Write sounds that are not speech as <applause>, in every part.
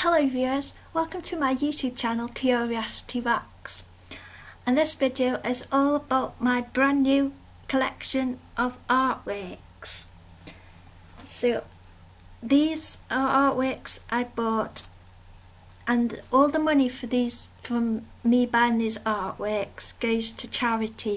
Hello viewers, welcome to my YouTube channel Curiosity Wax and this video is all about my brand new collection of artworks. So these are artworks I bought and all the money for these from me buying these artworks goes to charity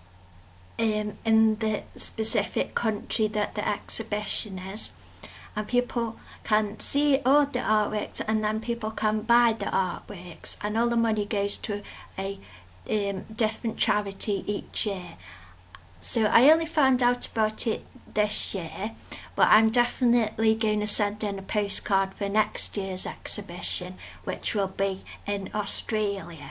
Um, in the specific country that the exhibition is and people can see all oh, the artworks and then people can buy the artworks and all the money goes to a um, different charity each year so I only found out about it this year but I'm definitely going to send in a postcard for next year's exhibition which will be in Australia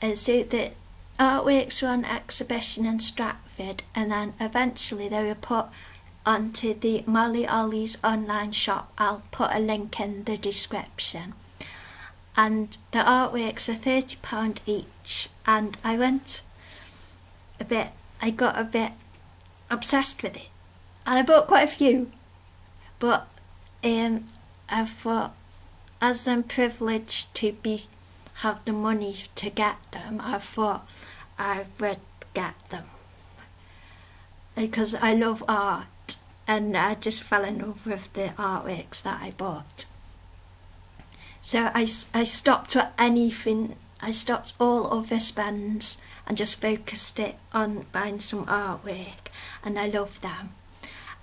and so the artworks were on exhibition in Stratford and then eventually they were put onto the Molly Ollie's online shop. I'll put a link in the description. And the artworks are £30 each and I went a bit, I got a bit obsessed with it. and I bought quite a few but um, I thought, uh, as I'm privileged to be have the money to get them, I thought I would get them because I love art and I just fell in love with the artworks that I bought. So I, I stopped at anything, I stopped all other spends and just focused it on buying some artwork and I loved them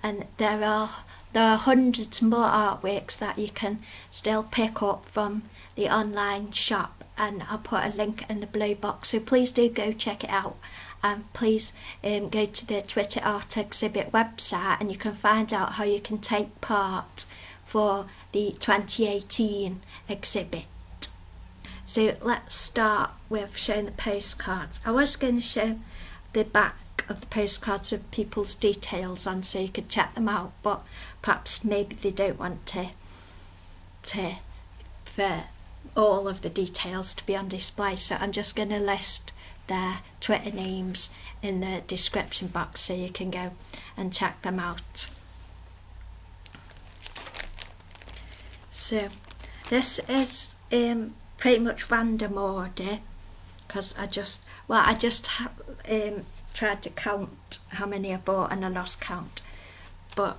and there are there are hundreds more artworks that you can still pick up from the online shop and I'll put a link in the blue box so please do go check it out and please um, go to the Twitter Art Exhibit website and you can find out how you can take part for the 2018 exhibit. So let's start with showing the postcards. I was going to show the back of the postcards with people's details and so you could check them out but perhaps maybe they don't want to to for all of the details to be on display so I'm just going to list their Twitter names in the description box so you can go and check them out. So this is um, pretty much random order because I just well I just um, tried to count how many I bought and I lost count but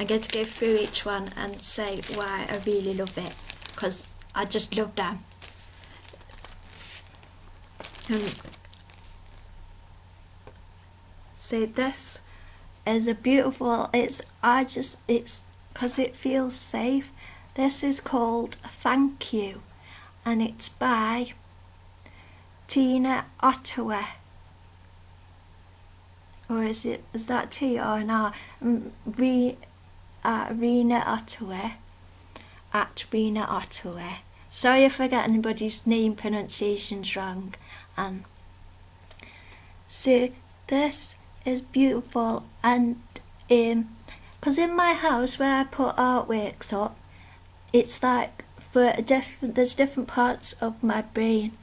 i get to go through each one and say why I really love it because I just love them um, so this is a beautiful it's I just it's because it feels safe. This is called Thank You and it's by Tina Ottawa. Or is it is that T or an R? Mm, Re, uh, Rena Ottawa at Rena Ottawa. Sorry if I get anybody's name pronunciation wrong. And um. so this it's beautiful and because um, in my house where I put artworks up it's like for a different there's different parts of my brain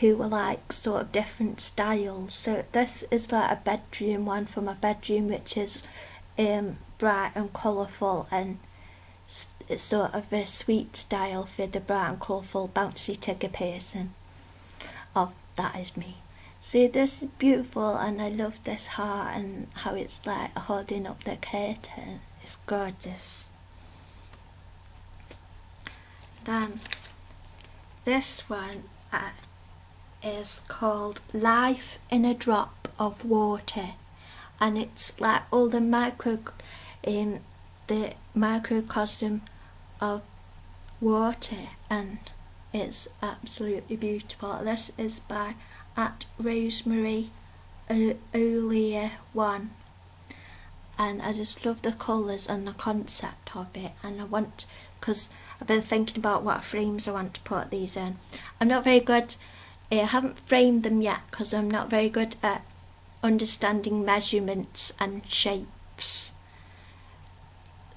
who are like sort of different styles so this is like a bedroom one for my bedroom which is um, bright and colourful and it's sort of a sweet style for the bright and colourful bouncy tiger person Oh, that is me See, this is beautiful, and I love this heart and how it's like holding up the curtain. It's gorgeous. Then this one uh, is called Life in a Drop of Water, and it's like all the micro, um, the microcosm of water and it's absolutely beautiful. This is by at Rosemary O'Lear 1 and I just love the colours and the concept of it and I want because I've been thinking about what frames I want to put these in. I'm not very good, eh, I haven't framed them yet because I'm not very good at understanding measurements and shapes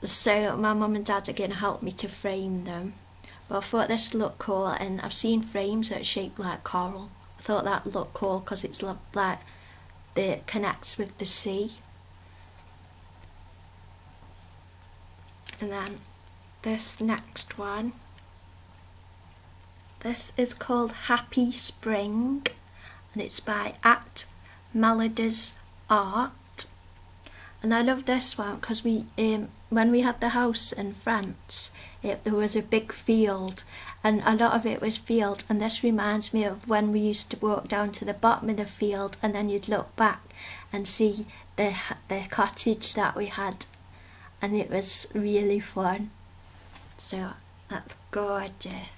so my mum and dad again helped me to frame them but I thought this looked cool and I've seen frames that are shaped like coral I thought that looked cool because it's like it connects with the sea and then this next one this is called Happy Spring and it's by at Melodies Art and I love this one because we, um, when we had the house in France, there was a big field and a lot of it was field and this reminds me of when we used to walk down to the bottom of the field and then you'd look back and see the, the cottage that we had and it was really fun. So that's gorgeous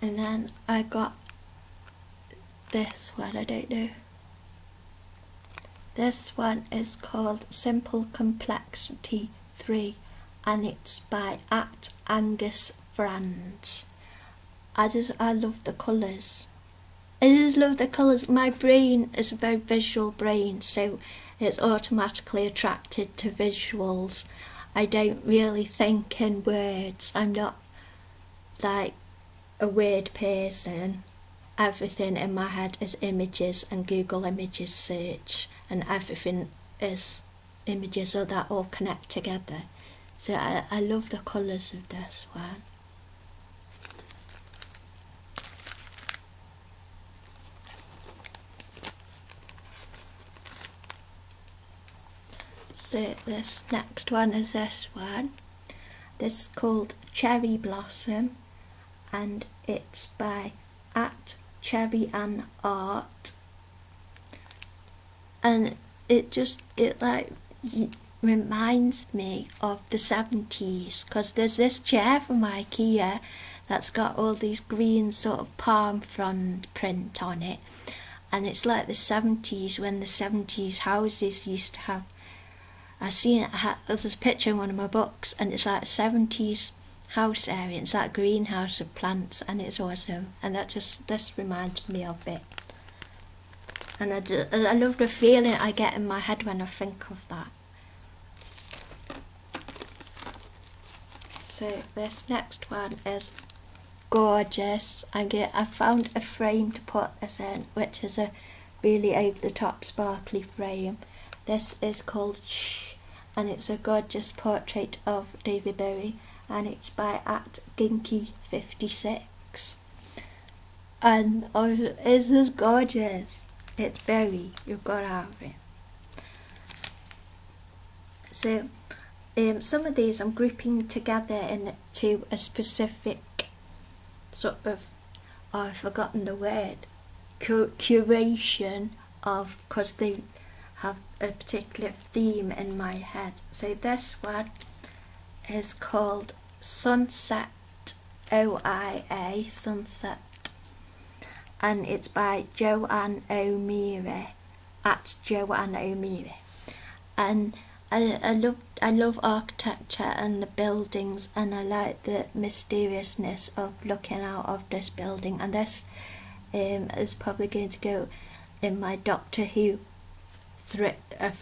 and then I got this one. I do not know. this one is called Simple Complexity 3 and it's by at Angus Franz I just I love the colours I just love the colours my brain is a very visual brain so it's automatically attracted to visuals I don't really think in words. I'm not like a weird person. Everything in my head is images and Google images search and everything is images so that all connect together. So I, love the colours of this one. So this next one is this one. This is called Cherry Blossom and it's by at Cherry and Art. And it just, it like reminds me of the 70s because there's this chair from Ikea that's got all these green sort of palm frond print on it and it's like the 70s when the 70s houses used to have I've seen it, I there's this picture in one of my books and it's like 70s house area, it's that greenhouse of plants and it's awesome and that just, this reminds me of it. And I love the feeling I get in my head when I think of that. So this next one is gorgeous. I get I found a frame to put this in, which is a really over the top sparkly frame. This is called Shh, and it's a gorgeous portrait of David Bowie, and it's by at Ginky56. And oh, is this gorgeous. It's very. You've got to have it. So um, some of these I'm grouping together into a specific sort of, oh, I've forgotten the word, curation of, because they have a particular theme in my head. So this one is called Sunset OIA, Sunset, and it's by Joanne O'Meara at anaumire. And I, I love I love architecture and the buildings and I like the mysteriousness of looking out of this building and this um, is probably going to go in my Doctor Who a,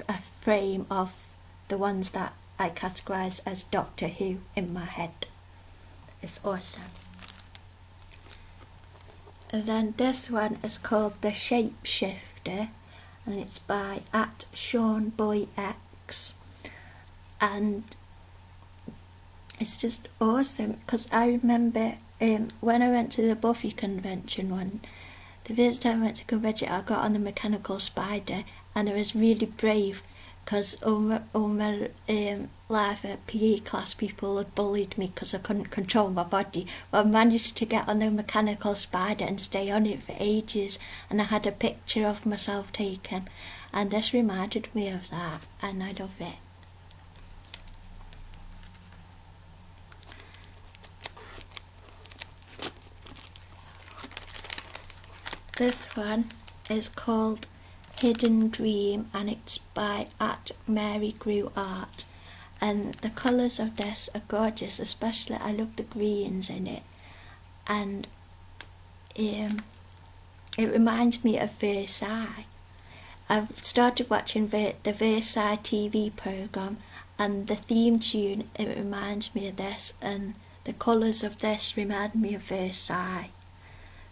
a frame of the ones that I categorise as Doctor Who in my head. It's awesome. And then this one is called The Shapeshifter and it's by at Sean Boy X and it's just awesome because I remember um, when I went to the Buffy convention one the first time I went to convention I got on the mechanical spider and I was really brave because all all life at PE class, people had bullied me because I couldn't control my body. But I managed to get on the mechanical spider and stay on it for ages, and I had a picture of myself taken. And this reminded me of that, and I love it. This one is called Hidden Dream and it's by at Mary Grew Art, and the colours of this are gorgeous. Especially, I love the greens in it, and um, it reminds me of Versailles. I've started watching the Versailles TV program, and the theme tune it reminds me of this, and the colours of this remind me of Versailles.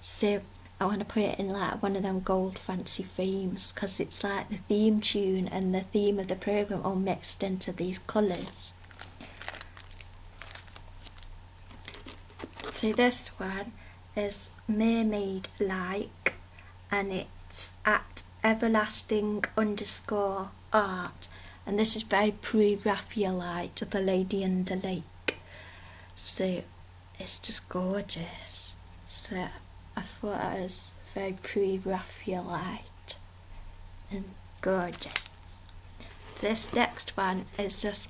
So I want to put it in like one of them gold fancy themes because it's like the theme tune and the theme of the program all mixed into these colours. So this one is mermaid like and it's at everlasting underscore art and this is very pre-Raphaelite, the lady in the lake. So it's just gorgeous. So I thought it was very pre-Raphaelite and gorgeous. This next one is just,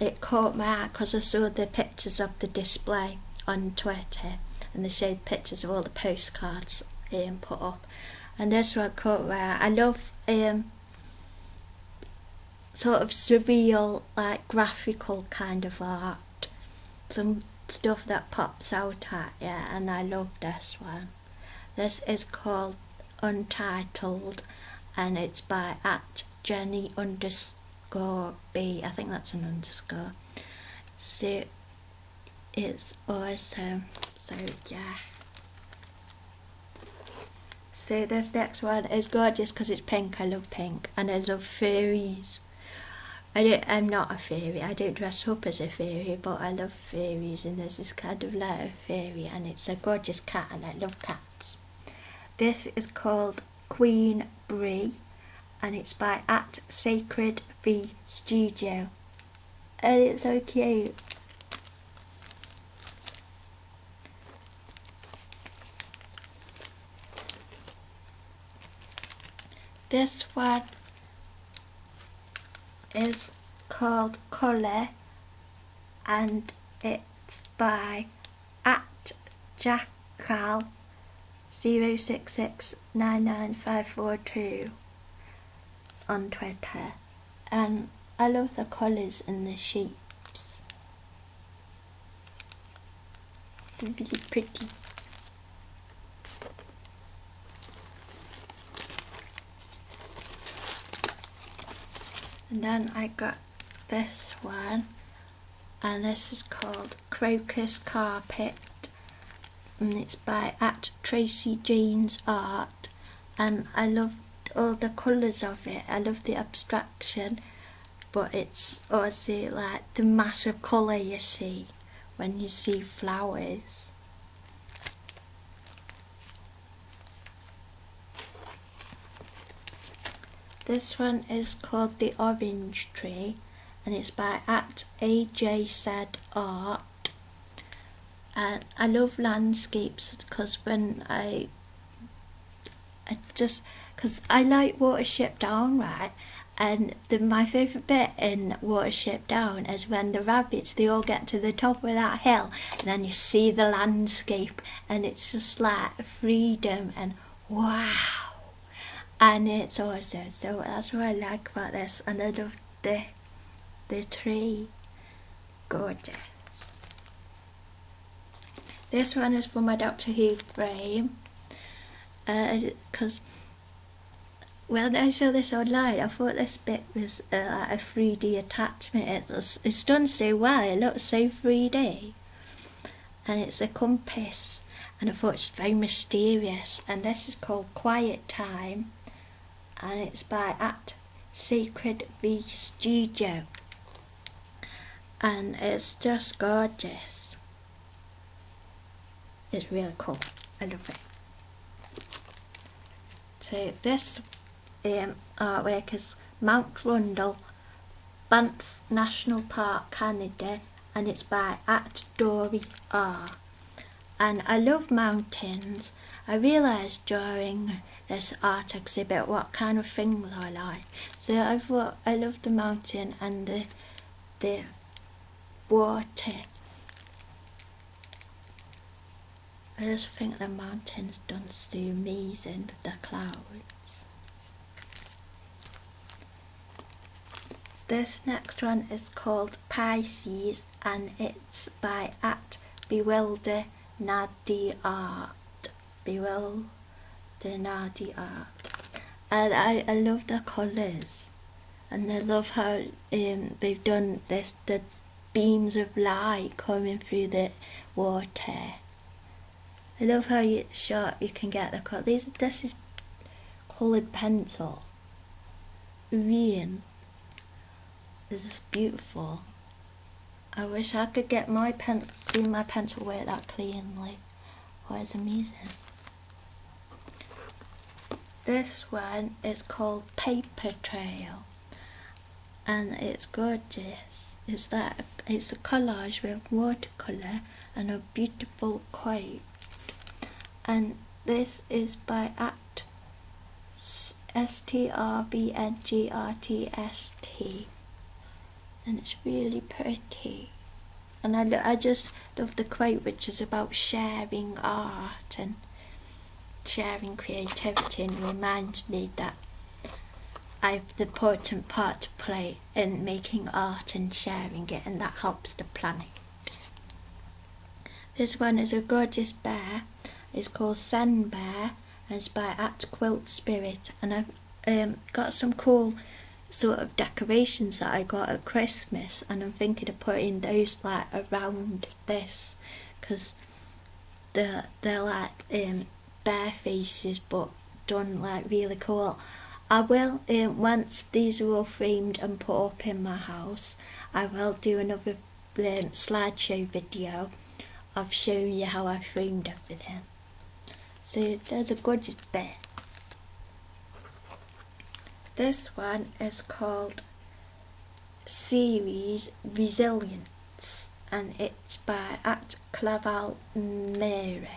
it caught my eye because I saw the pictures of the display on Twitter and they showed pictures of all the postcards um, put up. And this one caught my eye. I love um, sort of surreal, like graphical kind of art some stuff that pops out at you and I love this one. This is called Untitled and it's by at Jenny underscore B. I think that's an underscore. So it's awesome. So yeah. So this next one is gorgeous because it's pink. I love pink and I love fairies. I am not a fairy, I don't dress up as a fairy, but I love fairies and there's this kind of letter fairy and it's a gorgeous cat and I love cats. This is called Queen Brie and it's by at Sacred V Studio and it's so cute. This one is called Colour and it's by at Jackal 06699542 on Twitter and I love the colours in the sheeps. Really pretty. And then I got this one and this is called Crocus Carpet and it's by at Tracy Jane's Art and I loved all the colours of it. I love the abstraction but it's also like the massive colour you see when you see flowers. This one is called The Orange Tree and it's by at AJ said art and I love landscapes because when I I just because I like Watership Down, right? And my favourite bit in Watership Down is when the rabbits they all get to the top of that hill, and then you see the landscape, and it's just like freedom and wow, and it's also So that's what I like about this, and I love the the tree, gorgeous. This one is for my Doctor Who frame because uh, when I saw this online, I thought this bit was uh, a 3D attachment. it's done so well, it looks so 3D. And it's a compass, and I thought it's very mysterious. And this is called Quiet Time, and it's by at Sacred V Studio. And it's just gorgeous. It's really cool. I love it. So this um, artwork is Mount Rundle, Banff National Park, Canada, and it's by at Dory R. And I love mountains. I realised during this art exhibit what kind of things I like. So I thought I love the mountain and the the water. I just think the mountains don't see me and the clouds. This next one is called Pisces and it's by at Bewilder Nadi Art. Bewilder the art, And I, I love the colors, and I love how um, they've done this the beams of light coming through the water. I love how sharp you can get the cut. These this is colored pencil. Rain. This is beautiful. I wish I could get my pen clean my pencil work that cleanly. Oh, it's amazing. This one is called Paper Trail and it's gorgeous. It's that it's a collage with watercolor and a beautiful quote. And this is by at S-T-R-B-N-G-R-T-S-T and it's really pretty and I, I just love the quote which is about sharing art and sharing creativity and reminds me that I have the important part to play in making art and sharing it and that helps the planet. This one is a gorgeous bear. It's called Sand Bear and it's by At Quilt Spirit and I've um, got some cool sort of decorations that I got at Christmas and I'm thinking of putting those like around this because they're, they're like um, bare faces but done like really cool. I will, um, once these are all framed and put up in my house, I will do another um, slideshow video of showing you how I framed everything. So there's a gorgeous bit. This one is called Series Resilience and it's by at Claval Mary.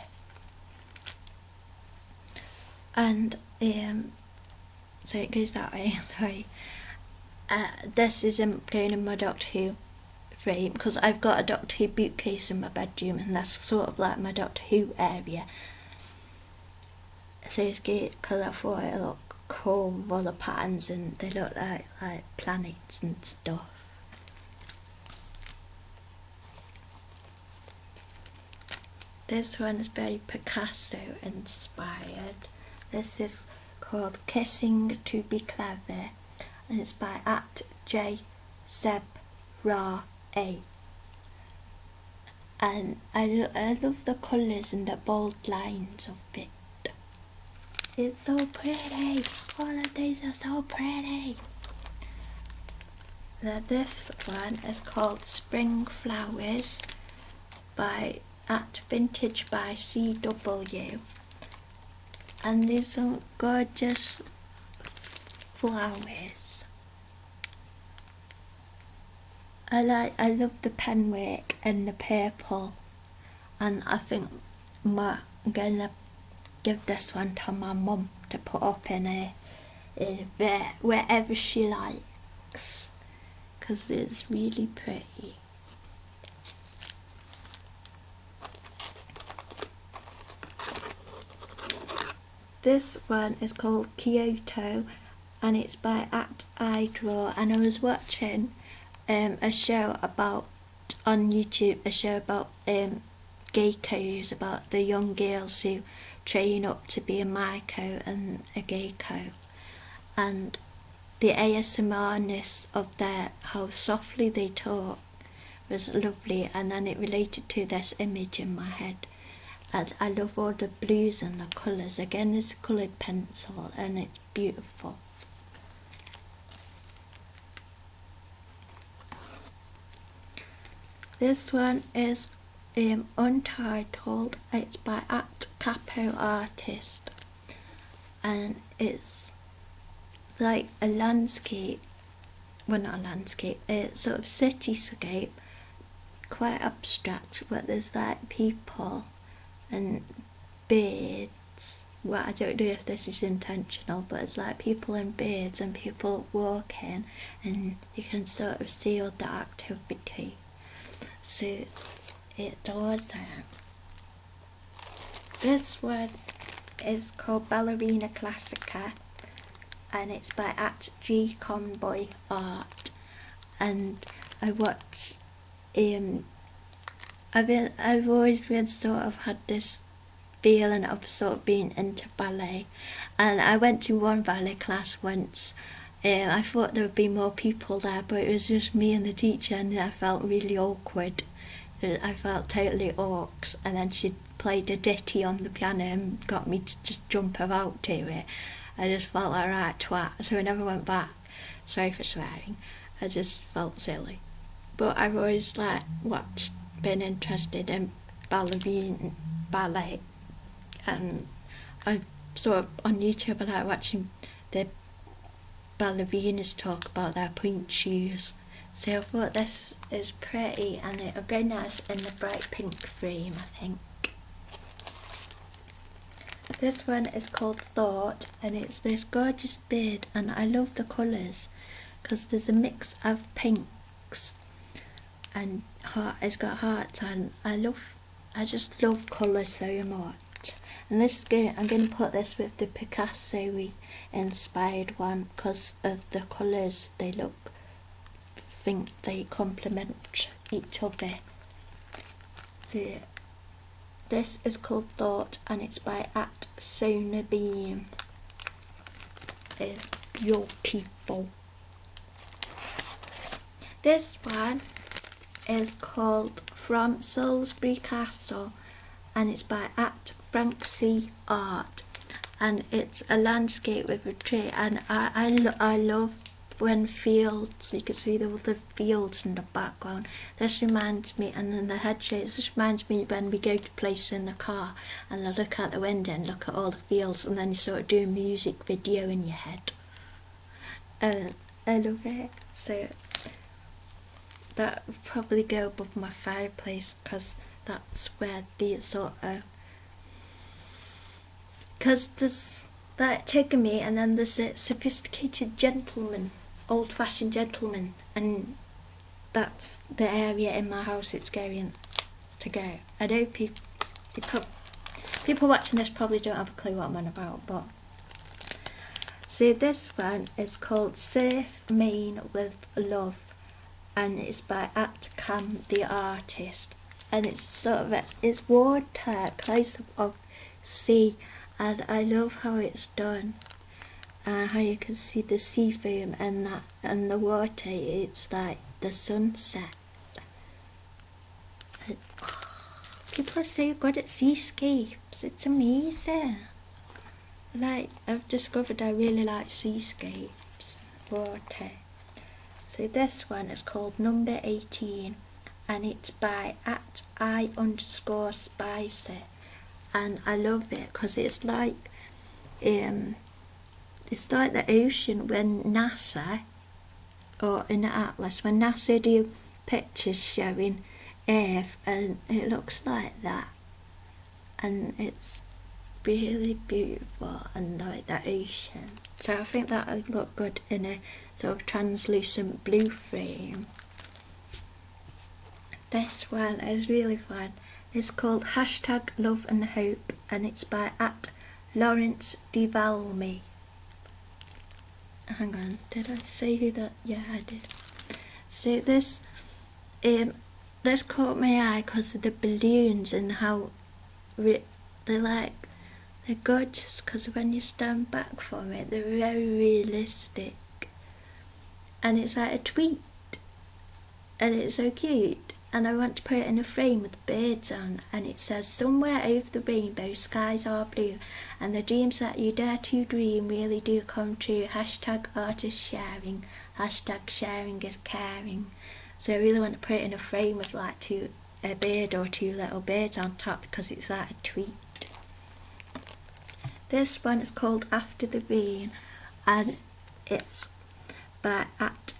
And um, so it goes that way, <laughs> sorry. Uh, this isn't playing in my Doctor Who frame because I've got a Doctor Who bookcase in my bedroom and that's sort of like my Doctor Who area so it's good because I thought it looked cool, with all the patterns and they look like, like planets and stuff. This one is very Picasso inspired. This is called Kissing to Be Clever and it's by at J Seb Ra And I, I love the colors and the bold lines of it. It's so pretty. All of these are so pretty. Now this one is called Spring Flowers by at Vintage by CW. And these are gorgeous flowers. I like I love the pen work and the purple and I think I'm gonna give this one to my mum to put up in a, a where, wherever she likes because it's really pretty. This one is called Kyoto and it's by At I Draw and I was watching um, a show about on YouTube a show about um, geckos about the young girls who train up to be a myco and a geiko. and the ASMRness of their how softly they talk was lovely and then it related to this image in my head and I love all the blues and the colours. Again, it's coloured pencil and it's beautiful. This one is um, untitled. It's by At Capo Artist, and it's like a landscape well not landscape, it's sort of cityscape, quite abstract, but there's like people and beards. Well, I don't know if this is intentional, but it's like people in beards and people walking, and you can sort of see all the activity. So it does that. This one is called Ballerina Classica and it's by at G Conboy Art and I watch um I've been I've always been sort of had this feeling of sort of being into ballet and I went to one ballet class once um, I thought there would be more people there but it was just me and the teacher and I felt really awkward I felt totally orcs and then she played a ditty on the piano and got me to just jump about to it. I just felt all right right, twat. So I never went back. Sorry for swearing. I just felt silly. But I've always like watched, been interested in ballerine, ballet, and I saw on YouTube I like watching the ballerinas talk about their point shoes. So I thought this is pretty and it'll go nice in the bright pink frame I think. This one is called Thought and it's this gorgeous beard and I love the colours because there's a mix of pinks and heart, it's got hearts and I love, I just love colours so much. And this is going, I'm going to put this with the Picasso inspired one because of the colours they look think they complement each other. So this is called Thought and it's by at Sonabeam. Uh, your people? This one is called From Salisbury Castle and it's by at Frank C. Art and it's a landscape with a tree and I, I, love when fields, you can see all the fields in the background. This reminds me, and then the head shapes, this reminds me when we go to places in the car and look out the window and look at all the fields and then you sort of do a music video in your head. Uh, I love it. So that would probably go above my fireplace because that's where the sort of because this, that taken me, and then there's a uh, sophisticated gentleman, old fashioned gentleman, and that's the area in my house it's going to go. I know people, people, watching this probably don't have a clue what I'm on about, but See, this one is called Surf Maine with Love and it's by Atcam the Artist and it's sort of a, it's water close of sea and I love how it's done and how you can see the sea foam and that and the water it's like the sunset and, people are so good at seascapes it's amazing like I've discovered I really like seascapes water so this one is called number 18 and it's by at I underscore spicy and I love it because it's like um, it's like the ocean when NASA or in the atlas when NASA do pictures showing Earth and it looks like that and it's really beautiful and like the ocean so I think that would look good in a sort of translucent blue frame. This one is really fun. It's called Hashtag Love and Hope and it's by at Lawrence DeValmy. Hang on, did I say who that? Yeah, I did. See this, um, this caught my eye because of the balloons and how they like they're gorgeous because when you stand back from it they're very realistic and it's like a tweet and it's so cute and I want to put it in a frame with birds on and it says somewhere over the rainbow skies are blue and the dreams that you dare to dream really do come true hashtag artist sharing hashtag sharing is caring so I really want to put it in a frame with like two a bead or two little beads on top because it's that a treat. This one is called After the Rain and it's by at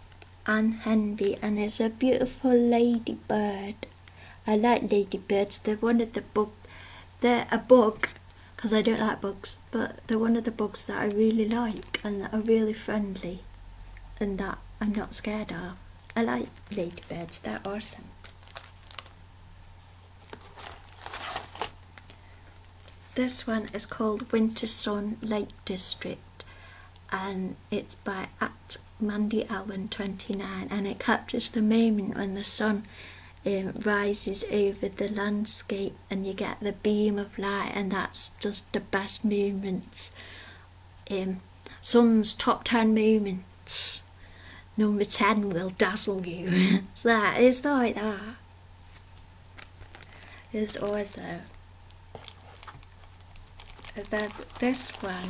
Anne Henby and it's a beautiful ladybird. I like ladybirds, they're one of the bugs. they're a bug because I don't like bugs but they're one of the bugs that I really like and are really friendly and that I'm not scared of. I like lady beds, they're awesome. This one is called Winter Sun Lake District and it's by at Mandy Allen 29 and it captures the moment when the sun um, rises over the landscape and you get the beam of light and that's just the best moments in, um, sun's top 10 moments. Number 10 will dazzle you. it's <laughs> like that. There's also that this one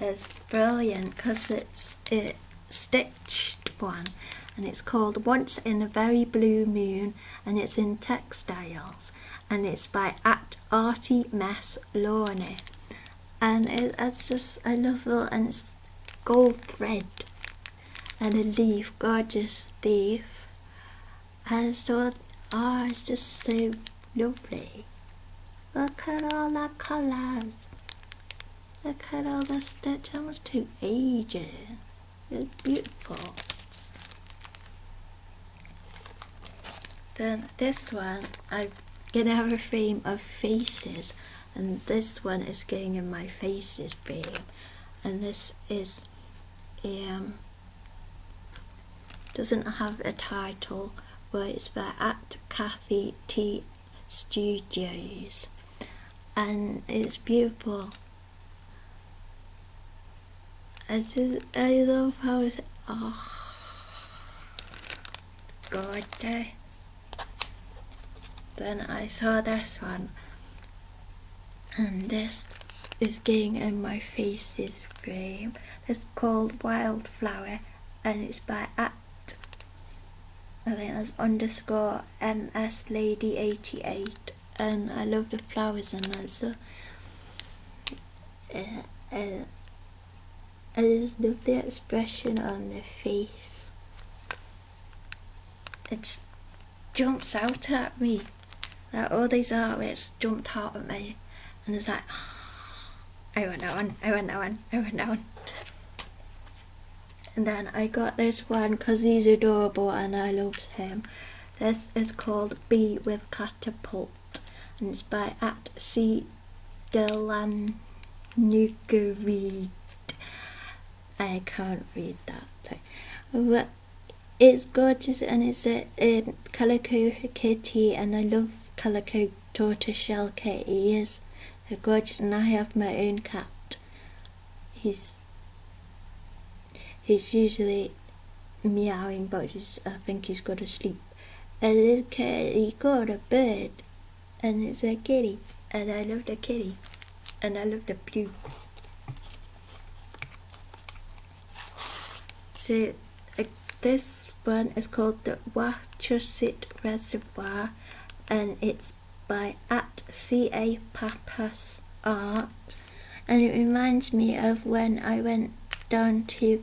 is brilliant because it's a stitched one and it's called Once in a Very Blue Moon and it's in textiles and it's by at Artie Mess Lorne. And it's just I love it and it's gold thread and a leaf, gorgeous leaf. And so oh it's just so lovely. Look at all the colours. Look at all the stitch almost two ages. It's beautiful. Then this one, I'm gonna have a frame of faces, and this one is going in my faces frame, and this is um doesn't have a title, but it's by at Kathy T Studios, and it's beautiful. I just I love how it's oh gorgeous. Then I saw this one and this is getting in my face, face's frame. It's called Wildflower and it's by at I think that's underscore MS Lady 88 and I love the flowers and that and uh, I just love the expression on their face. It jumps out at me. Like all these artworks jumped out at me, and it's like, <sighs> I want that one, I want that one, I want that one. And then I got this one because he's adorable and I love him. This is called Be With Cat. Catapult and it's by at C Delanugareed. I can't read that. But it's gorgeous and it's a, uh, calico kitty and I love calico tortoiseshell cats. They're gorgeous and I have my own cat. He's he's usually meowing but I think he's got to sleep and this kitty he got a bird and it's a kitty and I love the kitty and I love the blue so uh, this one is called the Wachusett Reservoir and it's by at C.A. Papas Art and it reminds me of when I went down to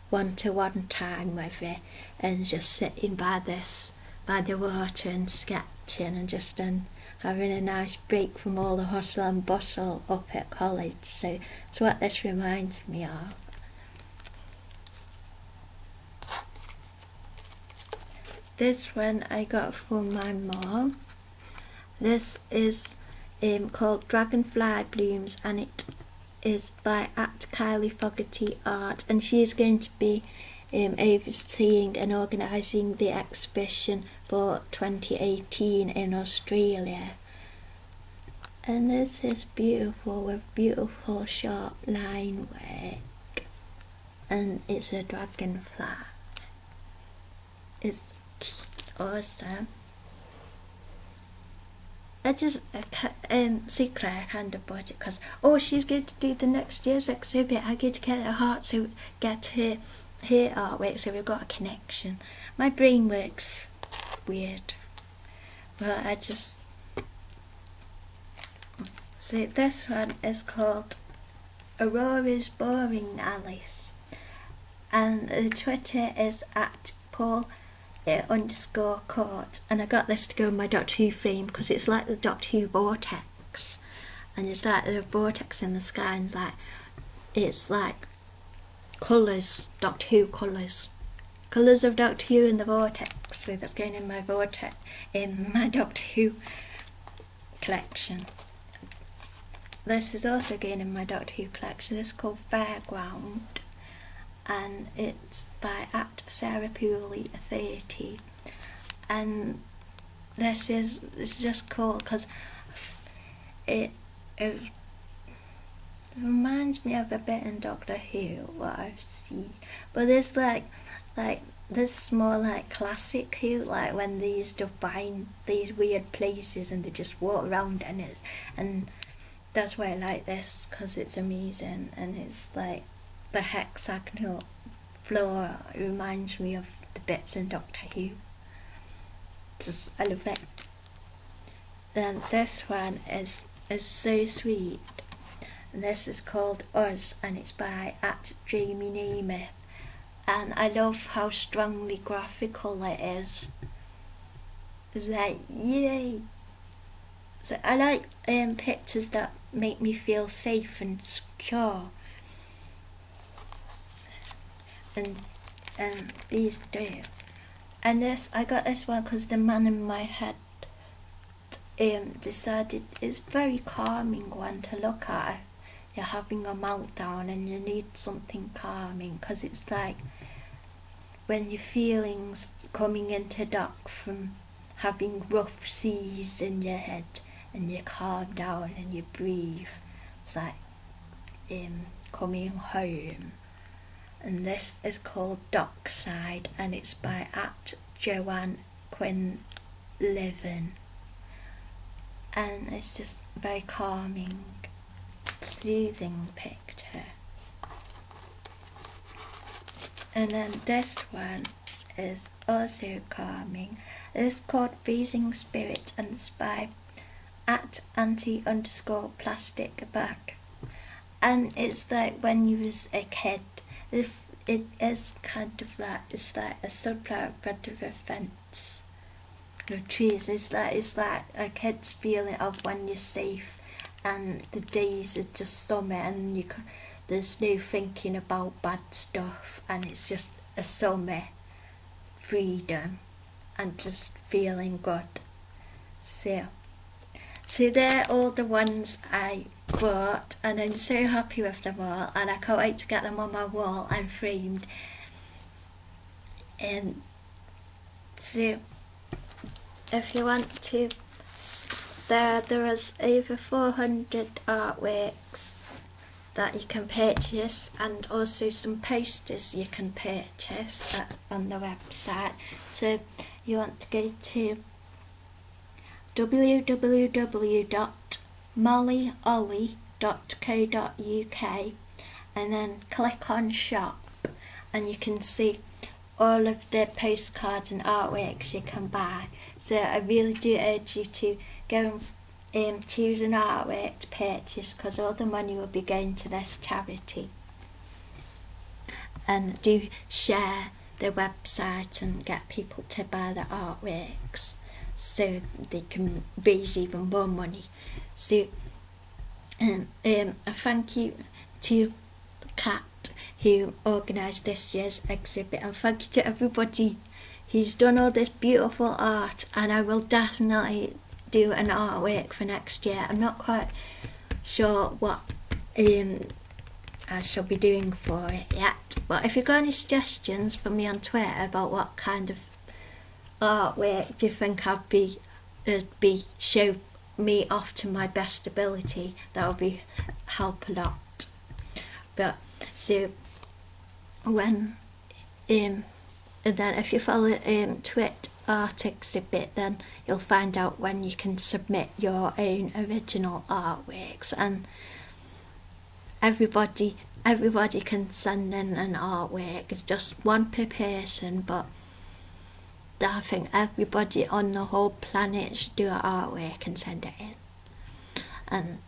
one to one time with it and just sitting by this by the water and sketching and just um, having a nice break from all the hustle and bustle up at college so that's what this reminds me of this one I got from my mom this is um, called Dragonfly Blooms and it is by at Kylie Fogarty Art and she is going to be um, overseeing and organising the exhibition for 2018 in Australia. And this is beautiful with beautiful sharp line work and it's a dragonfly. It's awesome. I just I um, I Claire kind of bought it because oh she's going to do the next year's exhibit. I get to get her heart so get her her artwork so we've got a connection. My brain works weird, Well, I just see this one is called Aurora's Boring Alice, and the Twitter is at Paul uh, underscore court and I got this to go in my Doctor Who frame because it's like the Doctor Who vortex and it's like the vortex in the sky and like it's like colours Doctor Who colours colours of Doctor Who in the vortex so that's going in my vortex in my Doctor Who collection this is also going in my Doctor Who collection this is called Fairground and it's by at Sarah Pooley 30 and this is it's just cool because it, it reminds me of a bit in Doctor Who what I have seen, but there's like like this is more like classic Who like when they used to find these weird places and they just walk around and it's and that's why I like this because it's amazing and it's like the hexagonal floor reminds me of the bits in Doctor Who. Just I love it. Then this one is is so sweet. this is called Us and it's by at Jamie Namath. And I love how strongly graphical it is. It's like, yay! So I like um, pictures that make me feel safe and secure. And um, these do. And this, I got this one because the man in my head um, decided it's very calming one to look at. You're having a meltdown and you need something calming because it's like when your feelings coming into dock from having rough seas in your head and you calm down and you breathe. It's like um, coming home. And this is called Dockside and it's by at Joanne Levin, And it's just very calming, soothing picture. And then this one is also calming. It's called Freezing Spirit and it's by at anti underscore plastic bag. And it's like when you was a kid. If it is kind of like it's like a sunflower front of a fence of trees. It's like it's like a kid's feeling of when you're safe and the days are just summer and you there's no thinking about bad stuff and it's just a summer freedom and just feeling good so so they're all the ones I bought and I'm so happy with them all and I can't wait to get them on my wall and framed and um, so, if you want to, there there is over 400 artworks that you can purchase and also some posters you can purchase on the website. So you want to go to www.mollyolly.co.uk and then click on shop and you can see all of the postcards and artworks you can buy. So I really do urge you to go and um, choose an artwork to purchase because all the money will be going to this charity. And do share the website and get people to buy the artworks so they can raise even more money. So um, um thank you to Mr. Cat who organized this year's exhibit and thank you to everybody. He's done all this beautiful art and I will definitely do an artwork for next year. I'm not quite sure what um, I shall be doing for it yet. But if you've got any suggestions for me on Twitter about what kind of artwork do you think I'd be, uh, be show me off to my best ability that will be help a lot but so when um, then if you follow um twit artics a bit then you'll find out when you can submit your own original artworks and everybody everybody can send in an artwork it's just one per person but I think everybody on the whole planet should do artwork and send it in. And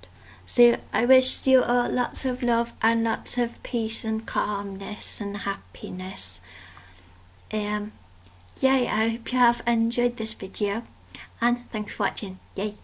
so I wish you all lots of love and lots of peace and calmness and happiness. Um, yay, I hope you have enjoyed this video and thanks for watching. Yay!